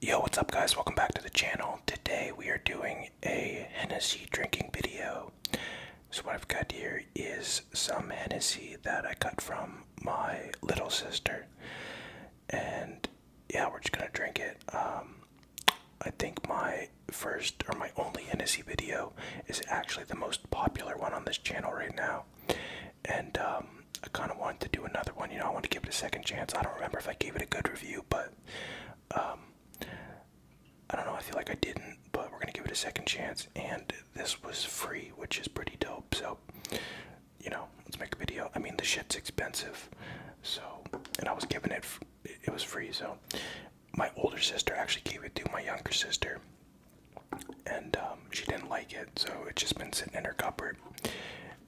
Yo, what's up guys? Welcome back to the channel. Today we are doing a Hennessy drinking video. So what I've got here is some Hennessy that I got from my little sister. And yeah, we're just gonna drink it. Um, I think my first or my only Hennessy video is actually the most popular one on this channel right now. And um, I kind of wanted to do another one. You know, I want to give it a second chance. I don't remember if I gave it a good review, but um, I don't know. I feel like I didn't, but we're gonna give it a second chance. And this was free, which is pretty dope. So, you know, let's make a video. I mean, the shit's expensive, so and I was giving it. It was free, so my older sister actually gave it to my younger sister. And um, she didn't like it, so it's just been sitting in her cupboard.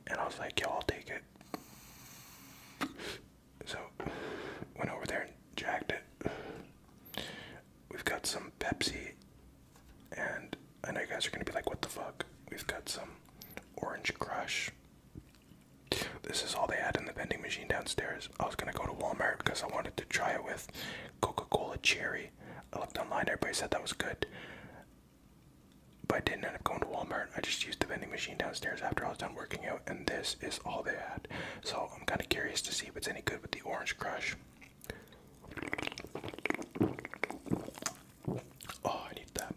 And I was like, "Yo, I'll take it." So, went over there and jacked it. We've got some Pepsi, and I know you guys are gonna be like, what the fuck? We've got some Orange Crush. This is all they had in the vending machine downstairs. I was gonna go to Walmart because I wanted to try it with Coca Cola Cherry. I looked online, everybody said that was good. But I didn't end up going to Walmart. I just used the vending machine downstairs after I was done working out, and this is all they had. So I'm kind of curious to see if it's any good with the orange crush. Oh, I need that.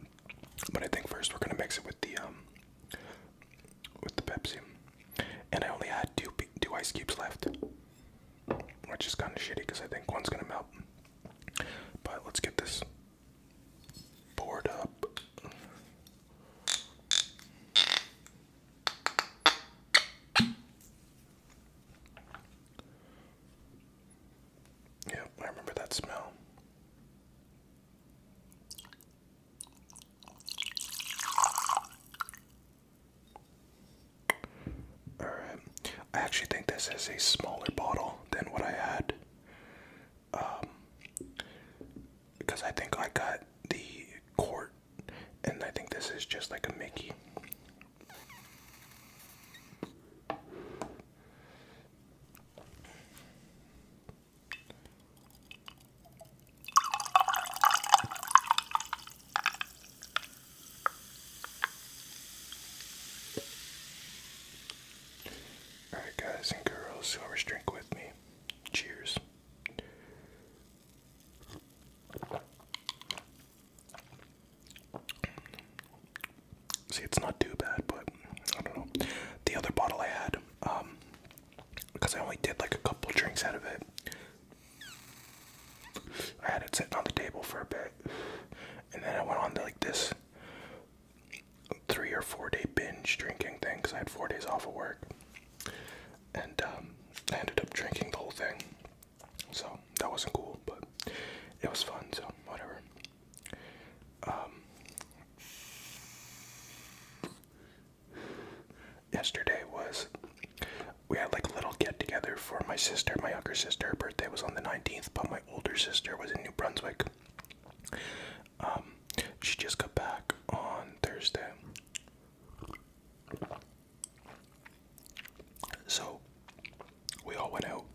But I think first we're gonna mix it with the um, with the Pepsi. And I only had two two ice cubes left, which is kind of shitty because I think one's gonna melt. But let's get this board up. Yep, I remember that smell. Alright, I actually think this is a smaller bottle than what I had because um, I think I got the court, and I think this is just like a Mickey. Alright, guys and girls, whoever's drink with me, cheers. See, it's not too bad, but I don't know. The other bottle I had, um, because I only did like a couple drinks out of it, I had it sitting on the table for a bit, and then I went on like this three or four day binge drinking thing because I had four days off of work, and um, I ended up drinking the whole thing. So that wasn't cool, but it was fun. So whatever. Um, yesterday was we had like a little get together for my sister. My younger sister, her birthday was on the nineteenth, but my older sister was in New Brunswick. Um, she just got back on Thursday. So we all went out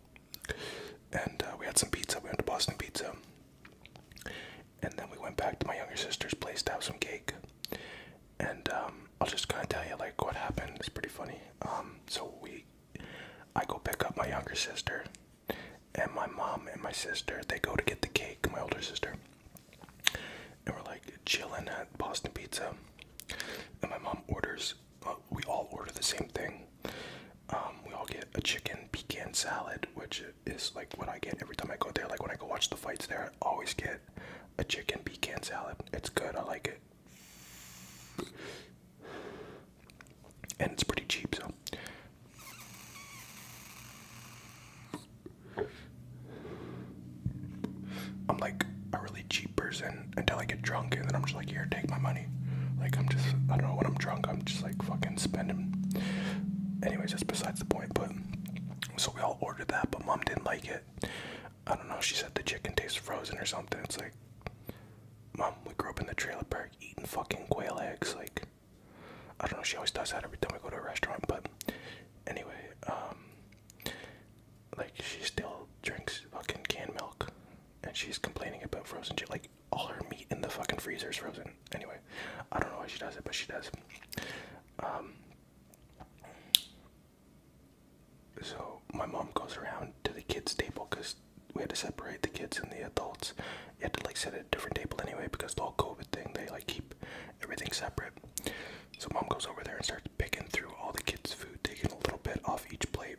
and uh, we had some pizza. We went to Boston Pizza. And then we went back to my younger sister's place to have some cake. And um, I'll just kind of tell you like what happened. It's pretty funny. Um, so we I go pick up my younger sister, and my mom and my sister they go to get the cake, my older sister, and we're like chilling at Boston Pizza, and my mom orders. we all order the same thing. Um, we all get a chicken pecan salad, which is like what I get every time I go there. Like when I go watch the fights there, I always get a chicken pecan salad. It's good. I like it and it's pretty cheap, so. I'm like a really cheap person until I get drunk, and then I'm just like, here, take my money. Like, I'm just, I don't know, when I'm drunk, I'm just like fucking spending. Anyways, that's besides the point, but. So we all ordered that, but mom didn't like it. I don't know, she said the chicken tastes frozen or something. It's like, mom, we grew up in the trailer park eating fucking quail eggs. Like, I don't know, she always does that every time we go to a restaurant. But anyway, um, like, she still drinks fucking canned milk and she's complaining about frozen shit. Like, all her meat in the fucking freezer is frozen. Anyway, I don't know why she does it, but she does. Um, so my mom goes around to the kids' table because we had to separate the kids and the adults. You had to like set a different table anyway because the whole COVID thing they like keep everything separate. So mom goes over there and starts picking through all the kids' food, taking a little bit off each plate.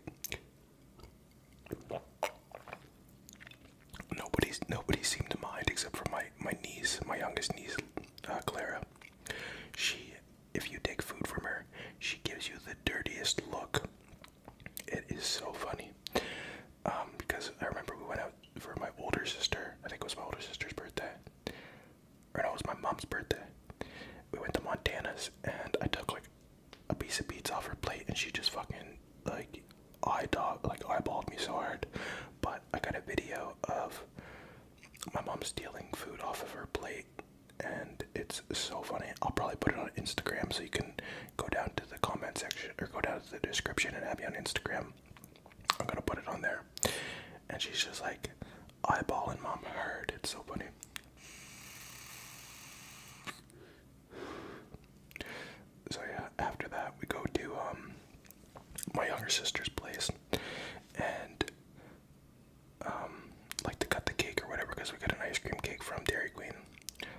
Nobody's nobody seemed to mind except for my my niece, my youngest niece, uh, Clara. She, if you take food from her, she gives you the dirtiest look. It is so funny um, because I remember we went out for my older sister. I think it was my older sister's birthday, or no, it was my mom's birthday. We went to Montana's and I took like a piece of pizza off her plate, and she just fucking like eye dog like eyeballed me so hard. But I got a video of my mom stealing food off of her plate and it's so funny. I'll probably put it on Instagram so you can go down to the comment section or go down to the description and add me on Instagram. I'm gonna put it on there. And she's just like eyeballing mom. heard. It's so funny. So yeah, after that we go to um my younger sister's place and um like to cut the cake or whatever because we got an ice cream cake from Dairy Queen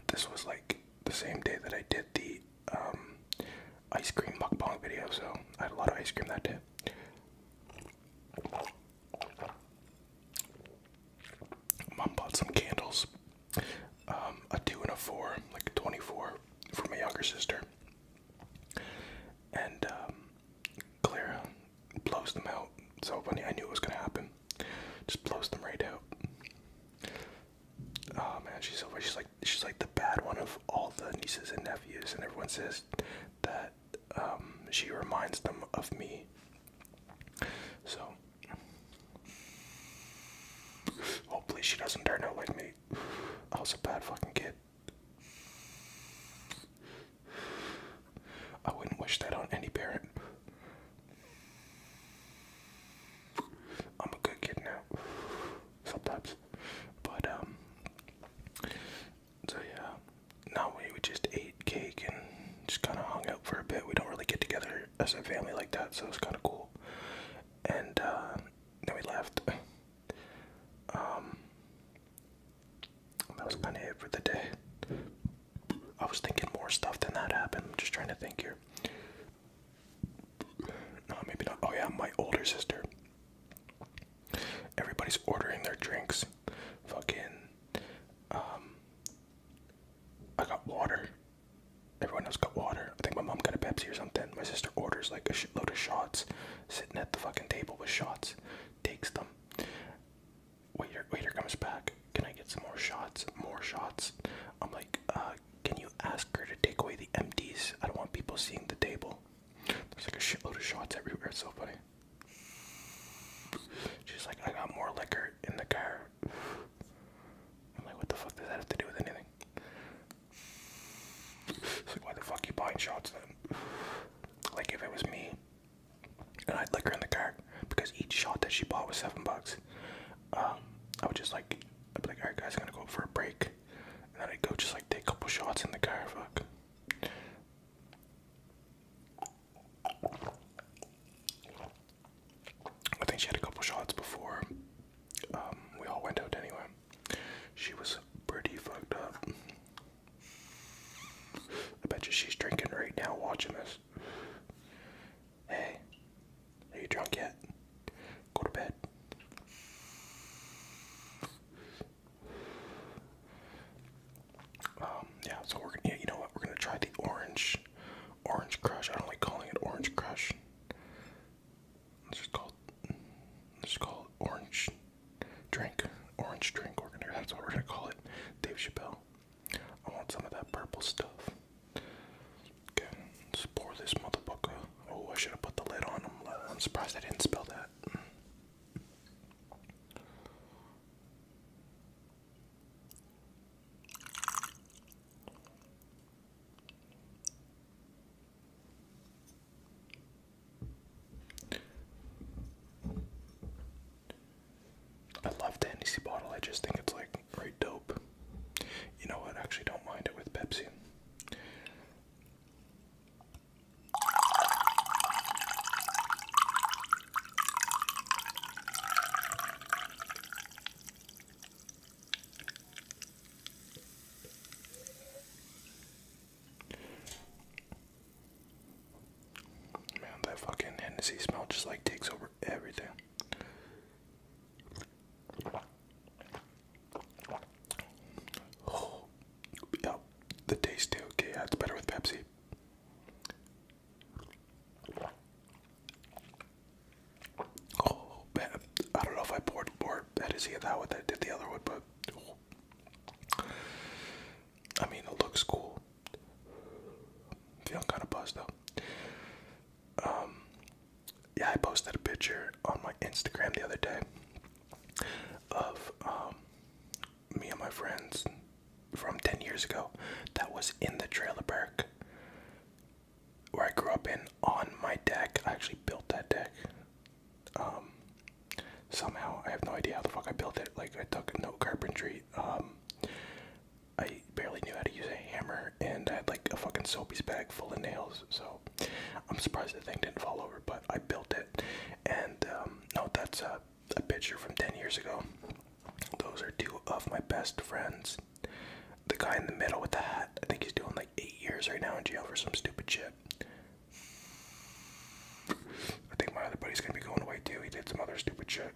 this was like the same day that I did the um, ice cream mukbang video, so I had a lot of ice cream that day. Mom bought some candles, um, a two and a four, like a 24 for my younger sister. And um, Clara blows them out. So funny, I knew it was gonna happen just blows them right out. Oh man, she's so She's like she's like the bad one of all the nieces and nephews, and everyone says that um, she reminds them of me. So hopefully she doesn't turn out like me. I was a bad fucking kid. I wouldn't wish that on any parent. I'm a good kid now. Sometimes. But um so yeah. Now we, we just ate cake and just kinda hung out for a bit. We don't really get together as a family like that, so it's kinda cool. And uh, then we left. Um that was kinda it for the day. I was thinking more stuff than that happened. I'm just trying to think here. No, maybe not. Oh, yeah, my older sister. Everybody's ordering their drinks. Fucking. Um. I got water. Everyone else got water. I think my mom got a Pepsi or something. My sister orders like a shitload of shots, sitting at the fucking table with shots, takes them waiter waiter comes back. Can I get some more shots? More shots. I'm like, uh, can you ask her to take away the empties? I don't want people seeing the table. There's like a shitload of shots everywhere. It's so funny. She's like, I got more liquor in the car. I'm like, what the fuck does that have to do with anything? It's like, why the fuck you buying shots then? Like, if it was me, and I'd lick her in the car because each shot that she bought was seven bucks. Um, I would just like, I'd be like, alright guys, I'm gonna go for a break, and then I'd go just like take a couple shots in the car. Fuck. I think she had a couple shots before um, we all went out anyway. She was pretty fucked up. I bet you she's drinking right now watching this. Hey, are you drunk yet? Go to bed. Um, yeah, so we're gonna, yeah, you know what? We're gonna try the orange, orange crush. I don't like calling it orange crush. Let's just call let's just call orange drink. Orange drink. We're gonna, that's what we're gonna call it. Dave Chappelle. I want some of that purple stuff. Okay, let's pour this motherfucker. Oh, I should have put the lid on. I'm, surprised I didn't spell that. I love the Hennessy bottle. I just think it's like right dope. You know what? I actually don't mind it with Pepsi. Man, that fucking Hennessy smell just like takes over everything. Oh, yeah, the taste too. Okay, it's better with Pepsi. Oh I don't know if I poured more Hennessy in that I did the other one, but. Oh. I mean, it looks cool. Feeling kind of buzzed though. Um, yeah, I posted a picture on my Instagram the other day of um, me and my friends from 10 years ago that was in the trailer park where I grew up in on my deck. I actually built that deck. Um, somehow, I have no idea how the fuck I built it. Like, I took no carpentry. I barely knew how to use a hammer, and I had like a fucking soapy's bag full of nails. So I'm surprised the thing didn't fall over, but I built it. And um, no, that's a picture from 10 years ago. Those are two of my best friends. The guy in the middle with the hat, I think he's doing like eight years right now in jail for some stupid shit. I think my other buddy's gonna be going away too. He did some other stupid shit.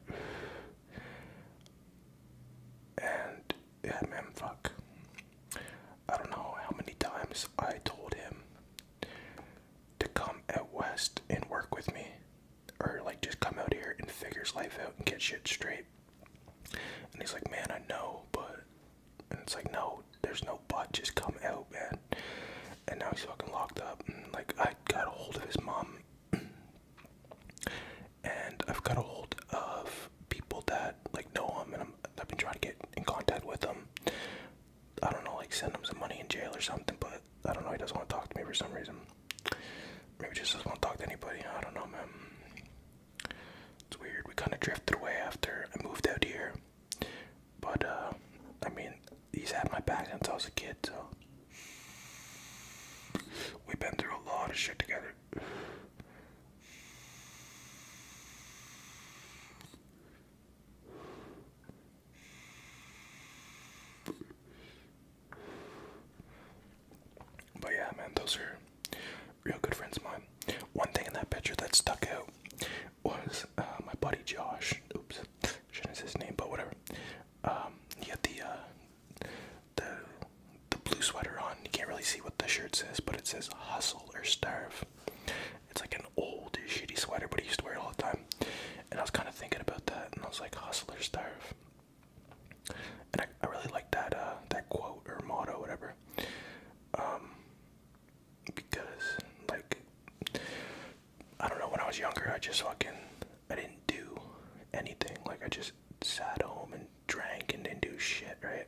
And yeah, man, fuck. I don't know how many times I told him to come at West and work with me, or like just come out here and figure his life out and get shit straight. And he's like, man, I know, but. And it's like, no, there's no but, just come out, man. And now he's fucking locked up. And like, I got a hold of his mom. and I've got a hold of people that like know him, and I'm, I've been trying to get in contact with him. I don't know, like send him some money in jail or something, but I don't know. He doesn't want to talk to me for some reason. Maybe just doesn't want to talk to anybody. I don't know, man. It's weird. We kind of drifted away after I moved out here, but uh, I mean, he's had my back since I was a kid, so We've been through a lot of shit together. But yeah, man, those are real good friends of mine. One thing in that picture that stuck out was uh, my buddy Josh. Oops, shouldn't say his name, but whatever. Um, he had the uh, the the blue sweater on. You can't really see what the shirt says, but it says hustle or starve. It's like an old shitty sweater, but he used to wear it all the time. And I was kind of thinking about that, and I was like, hustle or starve. And I, I really like that uh, that quote or motto, whatever. Um, because like I don't know, when I was younger, I just fucking I didn't do anything. Like I just sat home and drank and didn't do shit, right?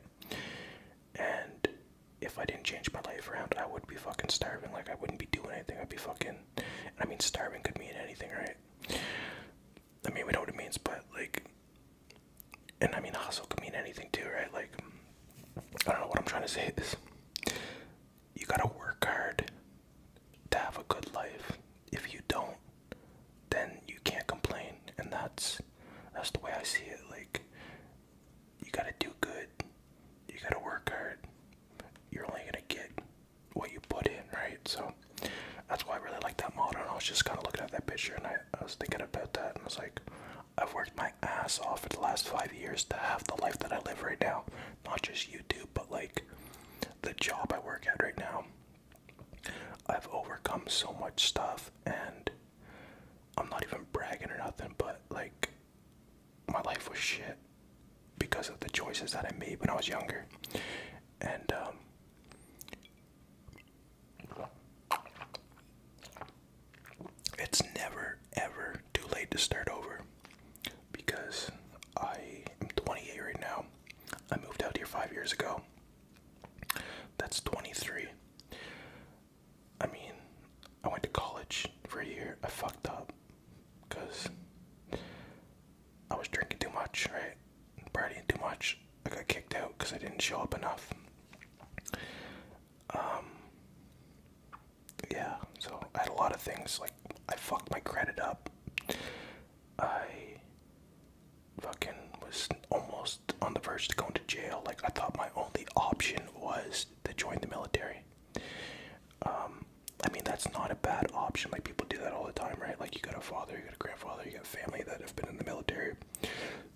And if I didn't change my life around, I would be fucking starving. Like I wouldn't be doing anything. I'd be fucking. I mean, starving could mean anything, right? I mean, we know what it means, but like, and I mean, hustle could mean anything too, right? Like, I don't know what I'm trying to say This. you gotta work hard to have a good life. If you don't, then you can't complain, and that's that's the way I see it. Like you gotta do good, you gotta work hard. You're only gonna get what you put in, right? So that's why I really like that model. And I was just kind of looking at that picture, and I was thinking about that, and I was like, I've worked my ass off for the last five years to have the life that I live right now. Not just YouTube, but like the job I work at right now. I've overcome so much stuff, and I'm not even bragging or nothing, but like, my life was shit because of the choices that I made when I was younger. And, um, it's never ever too late to start over because I am 28 right now. I moved out here five years ago. That's 23. I mean, I went to college for a year. I fucked up because I was drinking too much, right? Partying too much. I got kicked out because I didn't show up enough. Um, yeah, so I had a lot of things like I fucked my credit up. I fucking was almost on the verge to going to jail. Like I thought my only option was to join the military. Um, I mean that's not a bad option. Like people do that all the time, right? Like you got a father, you got a grandfather, you got family that have been in the military.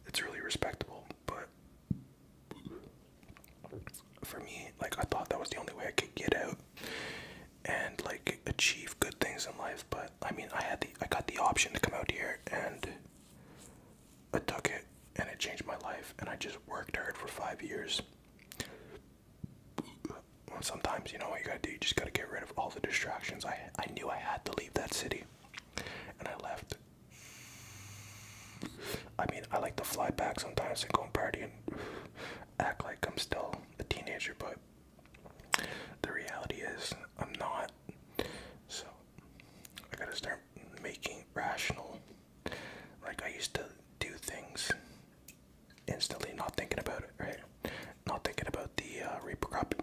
It's really respectable, but for me, like I thought that was the only way I could get out and like achieve good things in life. But I mean, I had the I got the option to come out here, and I took it, and it changed my life. And I just worked hard for five years. Sometimes you know what you gotta do. You just gotta get rid of all the distractions. I I knew I had to leave that city, and I left. I mean, I like to fly back sometimes and go and party and act like I'm still a teenager, but the reality is I'm not. So I gotta start making rational. Like I used to do things instantly, not thinking about it, right? Not thinking about the uh,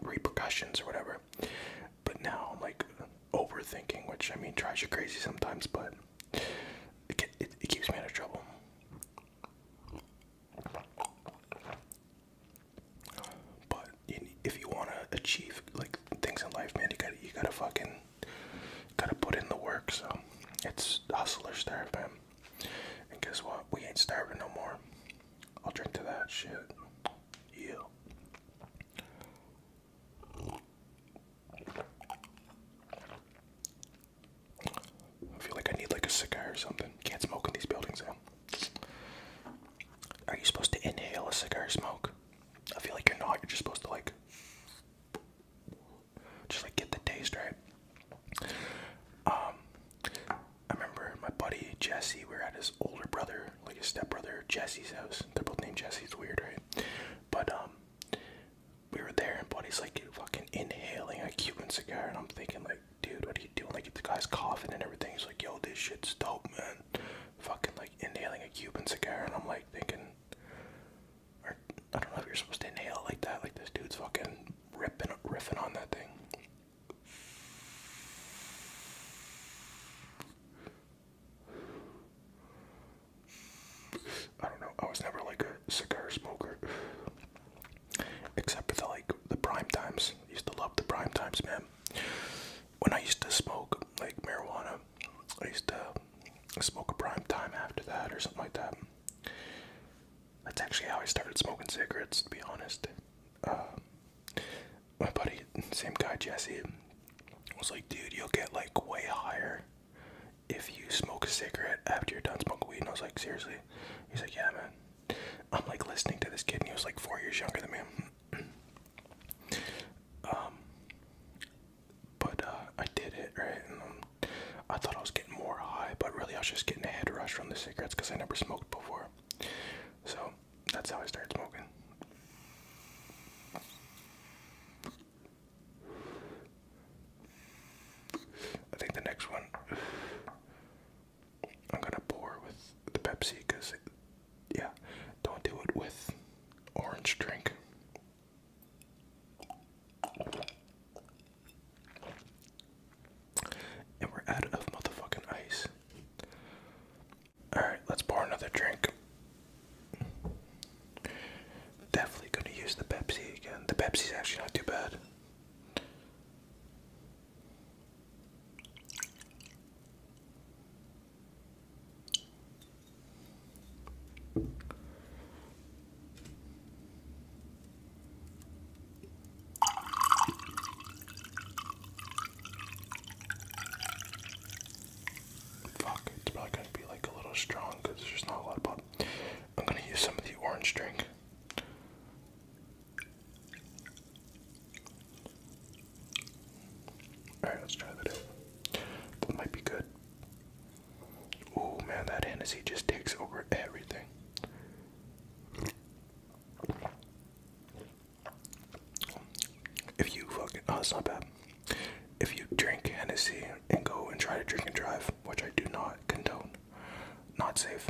repercussions or whatever. But now I'm like overthinking, which I mean drives you crazy sometimes, but it, it keeps me out of trouble. But you, if you want to achieve like things in life, man, you gotta you gotta fucking gotta put in the work. So it's hustlers, starve, man. And guess what? We ain't starving no more. I'll drink to that shit. Yeah. I feel like I need like a cigar or something. Can't smoke in these buildings though. Are you supposed to inhale a cigar smoke? I feel like you're not. You're just supposed to like, just like get the taste right. Um, I remember my buddy Jesse. We are at his older brother, like his stepbrother Jesse's house. They're both named Jesse. It's weird, right? But um, we were there, and buddy's like fucking inhaling a Cuban cigar, and I'm thinking like, dude, what are you doing? Like, the guy's coughing and everything. He's like, yo, this shit's dope, man. Fucking, like, inhaling a Cuban cigar. And I'm, like, thinking, I don't know if you're supposed to inhale like that. Like, this dude's fucking ripping, riffing on that thing. I don't know. I was never, like, a cigar smoker except for the like the prime times. I used to love the prime times, man. When I used to smoke like marijuana, I used to smoke a prime time after that or something like that. That's actually how I started smoking cigarettes, to be honest. Uh, my buddy, same guy Jesse, was like, dude, you'll get like way higher if you smoke a cigarette after you're done smoking weed. And I was like, seriously? He's like, yeah, man. I'm like listening to this kid, and he was like four years younger than me. um, but uh, I did it right, um, I thought I was getting more high, but really I was just getting a head rush from the cigarettes because I never smoked before. So that's how I started smoking. I think the next one I'm gonna pour with the Pepsi because, yeah, don't do it with orange drink. And we're out of motherfucking ice. Alright, let's pour another drink. Definitely gonna use the Pepsi again. The Pepsi's actually not too bad. Fuck, it's probably gonna be like a little strong because there's not a lot of I'm gonna use some of the orange drink. Alright, let's try that That might be good. Oh man, that Hennessy just takes over everything. If you fucking, oh, it's not bad. If you drink Hennessy and go and try to drink and drive, which I do not condone, not safe,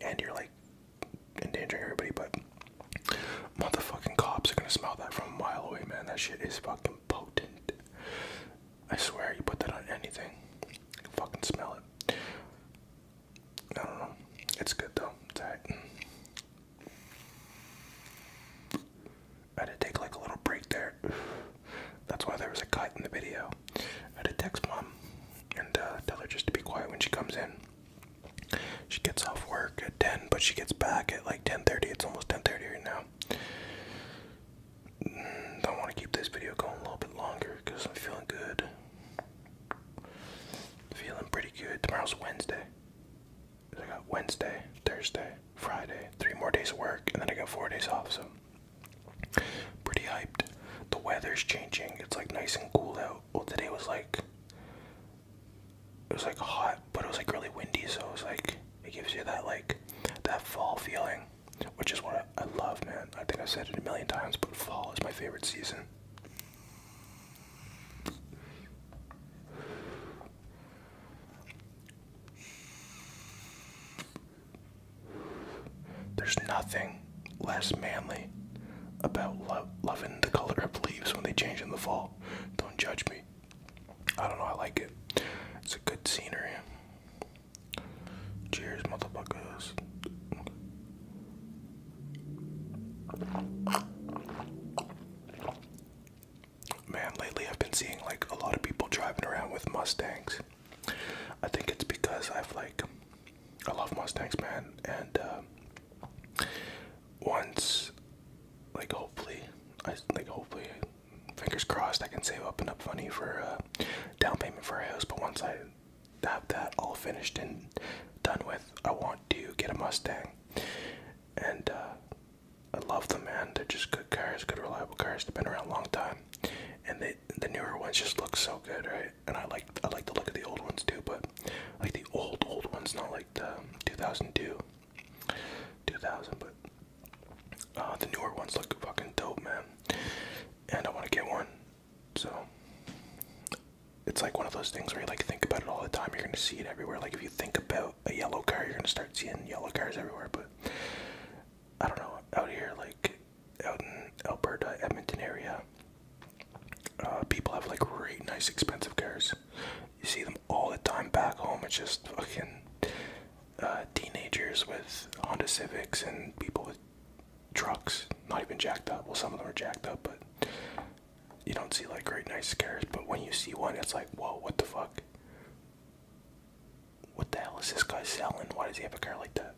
and you're like endangering everybody, but motherfucking cops are gonna smell that from a mile away, man. That shit is fucking potent. I swear, you put that on anything, you can fucking smell it. I don't know. It's good though. I had to take like a little break there. That's why there was a cut in the video. had to text mom and uh, tell her just to be quiet when she comes in. She gets off work at 10, but she gets back at like 10:30. It's almost 10:30 right now. I want to keep this video going a little bit longer because I'm feeling good. Feeling pretty good. Tomorrow's Wednesday. I got Wednesday, Thursday, Friday, three more days of work, and then I got four days off. So pretty hyped the weather's changing. It's like nice and cool out. Well, today was like it was like hot, but it was like really windy. So it was like it gives you that like that fall feeling, which is what I, I love, man. I think I've said it a million times, but fall is my favorite season. There's nothing less manly about loving the color of leaves when they change in the fall. Don't judge me. I don't know, I like it. It's a good scenery. Cheers, motherfuckers. Man, lately I've been seeing like a lot of people driving around with Mustangs. I think it's because I've like I love Mustangs, man, and um, once, like, hopefully, I like, hopefully, fingers crossed, I can save up enough money for uh, down payment for a house. But once I have that all finished and done with, I want to get a Mustang, and uh, I love them, man. They're just good cars, good reliable cars. They've been around a long time, and they the newer ones just look so good, right? And I like I like the look of the old ones too, but like the old old ones, not like the 2002, um, 2000, but uh, the newer ones look fucking dope, man. And I want to get one, so it's like one of those things where you like think about it all the time. You're gonna see it everywhere. Like if you think about a yellow car, you're gonna start seeing yellow cars everywhere. But I don't know out here, like out in Alberta, Edmonton area, uh, people have like great, nice, expensive cars. You see them all the time back home. It's just fucking uh, teenagers with Honda Civics and people with trucks, not even jacked up. Well, some of them are jacked up, but you don't see like great nice cars. But when you see one, it's like, whoa, what the fuck? What the hell is this guy selling? Why does he have a car like that?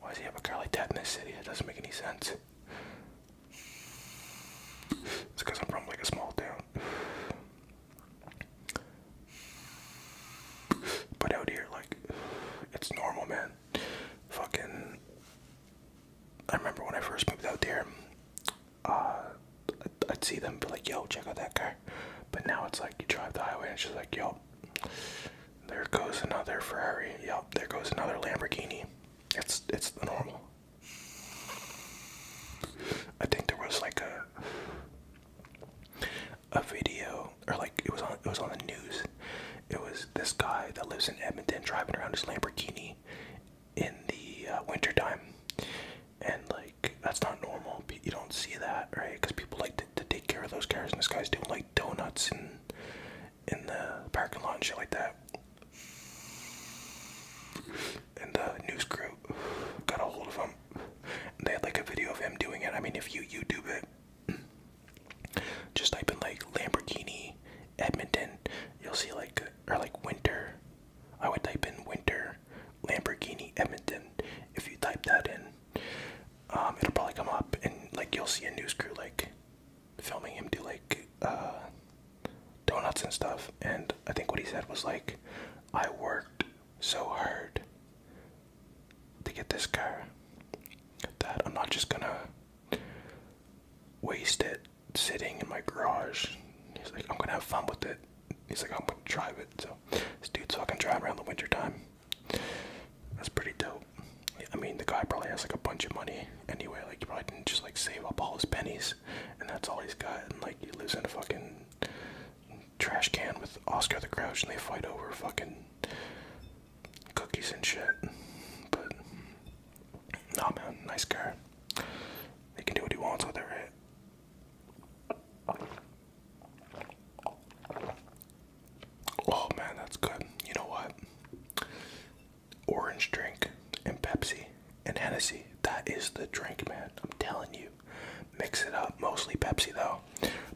Why does he have a car like that in this city? It doesn't make any sense. It's because I'm from like a small town. But out here, like, it's normal, man. Fucking. I remember when I first moved out there, uh, I'd see them be like, yo, check out that car. But now it's like you drive the highway and she's like, yo, there goes another Ferrari. Yup. There goes another Lamborghini. It's it's the normal. I think there was like a a video or like it was on it was on the news. It was this guy that lives in Edmonton driving around his Lamborghini in the uh, wintertime. And like that's not normal. You don't see that, right? Because people like to take care of those cars, and this guy's doing like donuts and in the parking lot and shit like that. And the news crew got a hold of him. they had like a video of him doing it. I mean, if you YouTube it, just type in like Lamborghini Edmonton, you'll see like, or like winter. I would type in winter Lamborghini Edmonton. If you type that in, um, it'll probably come up and like you'll see a news crew like filming him do like uh, donuts and stuff. And I think what he said was like, I worked so hard to get this car that I'm not just gonna waste it sitting in my garage. He's like, I'm gonna have fun with it. He's like, I'm gonna drive it. So this dude's fucking driving around the winter time. That's pretty dope. I mean, the guy probably has like a bunch of money anyway. Like, he probably didn't just like save up all his pennies, and that's all he's got. And like, he lives in a fucking trash can with Oscar the Grouch, and they fight over fucking cookies and shit. But nah, man, nice guy. He can do what he wants with her. Oh man, that's good. You know what? Orange drink and Pepsi and Hennessy. That is the drink, man. I'm telling you. Mix it up. Mostly Pepsi though.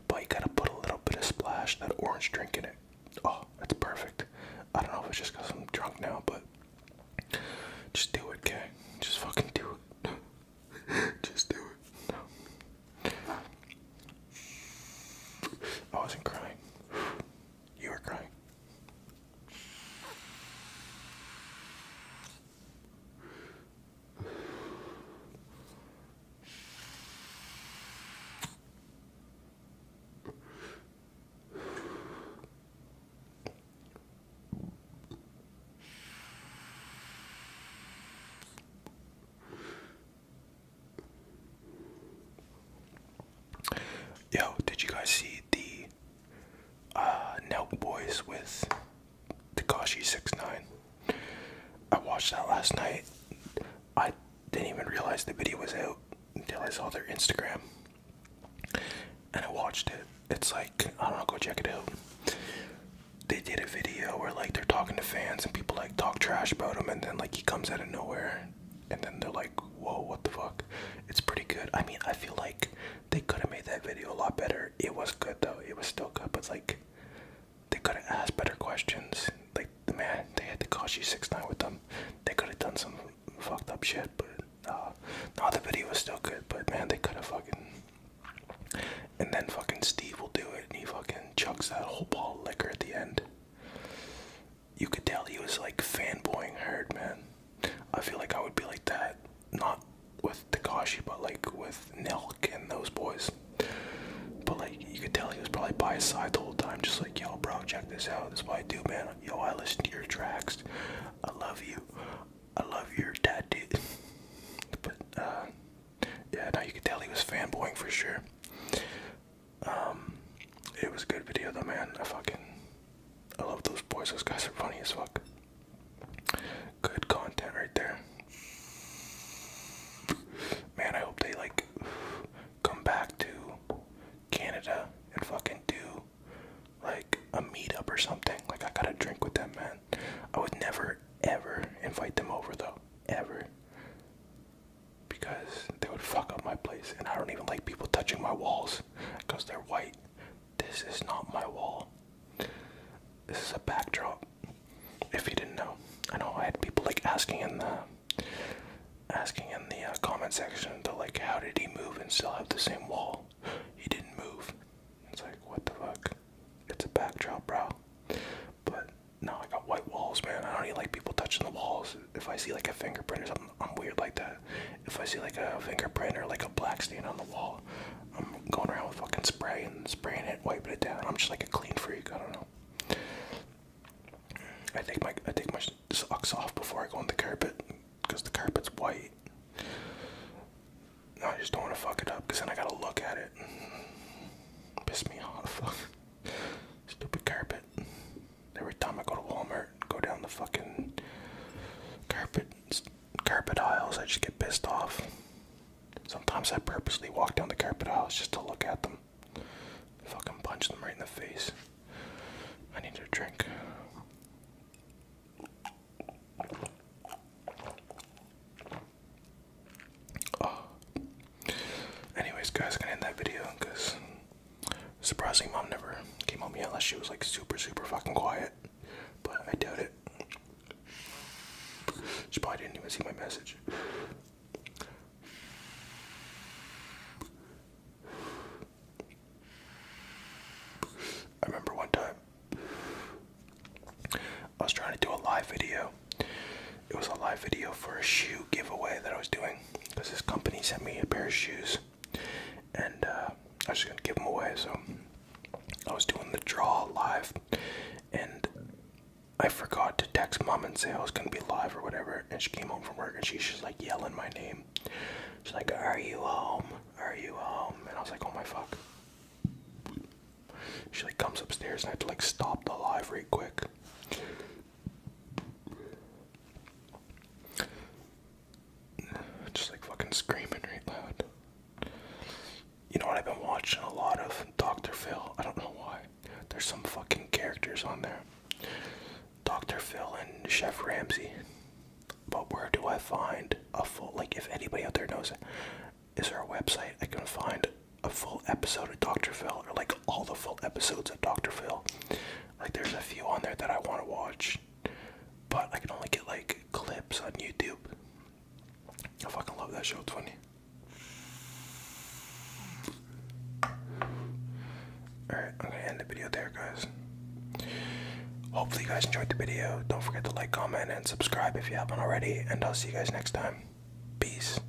But you gotta put a little bit of splash, that orange drink in it. Oh, that's perfect. I don't know if it's just because I'm drunk now, but just do it, okay? Just fucking do it. just do it. I wasn't crying. You were crying. Yo, did you guys see the uh Boys with Takashi 69? I watched that last night. I didn't even realize the video was out until I saw their Instagram. And I watched it. It's like, I don't know, go check it out. They did a video where like they're talking to fans and people like talk trash about him and then like he comes out of nowhere and then they're like, whoa, what the fuck? It's pretty good. I mean, I feel like they could have made that video a lot better. It was good though. It was still good, but like they could have asked better questions. Like the man, they had to cost you six nine with them. They could have done some fucked up shit, but uh, no, the video was still good. But man, they could have fucking. And then fucking Steve will do it, and he fucking chucks that whole ball of liquor at the end you could tell he was like fanboying Herd, man. I feel like I would be like that, not with Takashi, but like with Nelk and those boys. But like, you could tell he was probably by his side the whole time, just like, yo, bro, check this out. This is what I do, man. Yo, I listen to your tracks. I love you. I love your tattoo. but, uh, yeah, now you could tell he was fanboying for sure. Um, it was a good video though, man. I fucking, I love those boys. Those guys are funny as fuck. Good content right there. Man, I hope they like come back to Canada and fucking do like a meet up or something. Like I gotta drink with them, man. I would never ever invite them over though. Ever because they would fuck up my place and I don't even like people touching my walls because they're white. This is not my wall. This is a backdrop. If you didn't know, I know I had people like asking in the asking in the uh, comment section to like how did he move and still have the same wall? He didn't move. It's like what the fuck? It's a backdrop, bro. But no, I got white walls, man. I don't even like people touching the walls. If I see like a fingerprint or something, I'm weird like that. If I see like a fingerprint or like a black stain on the wall, I'm going around with fucking spray and spraying it, wiping it down. I'm just like a clean freak. I don't know. I take my I take my socks off before I go on the carpet because the carpet's white. No, I just don't want to fuck it up because then I gotta look at it. Piss me off. the fuck, Stupid carpet. Every time I go to Walmart, go down the fucking carpet carpet aisles, I just get pissed off. Sometimes I purposely walk down the carpet aisles just to look at them. Fucking punch them right in the face. I need a drink. Anyways, guys, gonna end that video because surprisingly, mom never came home yet unless she was like super, super fucking quiet. But I doubt it. She probably didn't even see my message. I remember one time I was trying to do a live video it was a live video for a shoe giveaway that I was doing because this company sent me a pair of shoes and uh, I was just gonna give them away. So I was doing the draw live and I forgot to text mom and say I was gonna be live or whatever. And she came home from work and she's just like yelling my name. She's like, Are you home? Are you home? And I was like, Oh my fuck. She like comes upstairs and I had to like stop the live right quick. Just like fucking screaming right loud. You know what? I've been watching a lot of Dr. Phil. I don't know why. There's some fucking characters on there. Dr. Phil and Chef Ramsay. But where do I find a full, like, if anybody out there knows is there a website I can find a full episode of Dr. Phil or like all the full episodes of Dr. Phil? Like there's a few on there that I want to watch, but I can only get like clips on YouTube. I fucking love that show. 20 Alright, I'm gonna end the video there, guys. Hopefully, you guys enjoyed the video. Don't forget to like, comment, and subscribe if you haven't already. And I'll see you guys next time. Peace.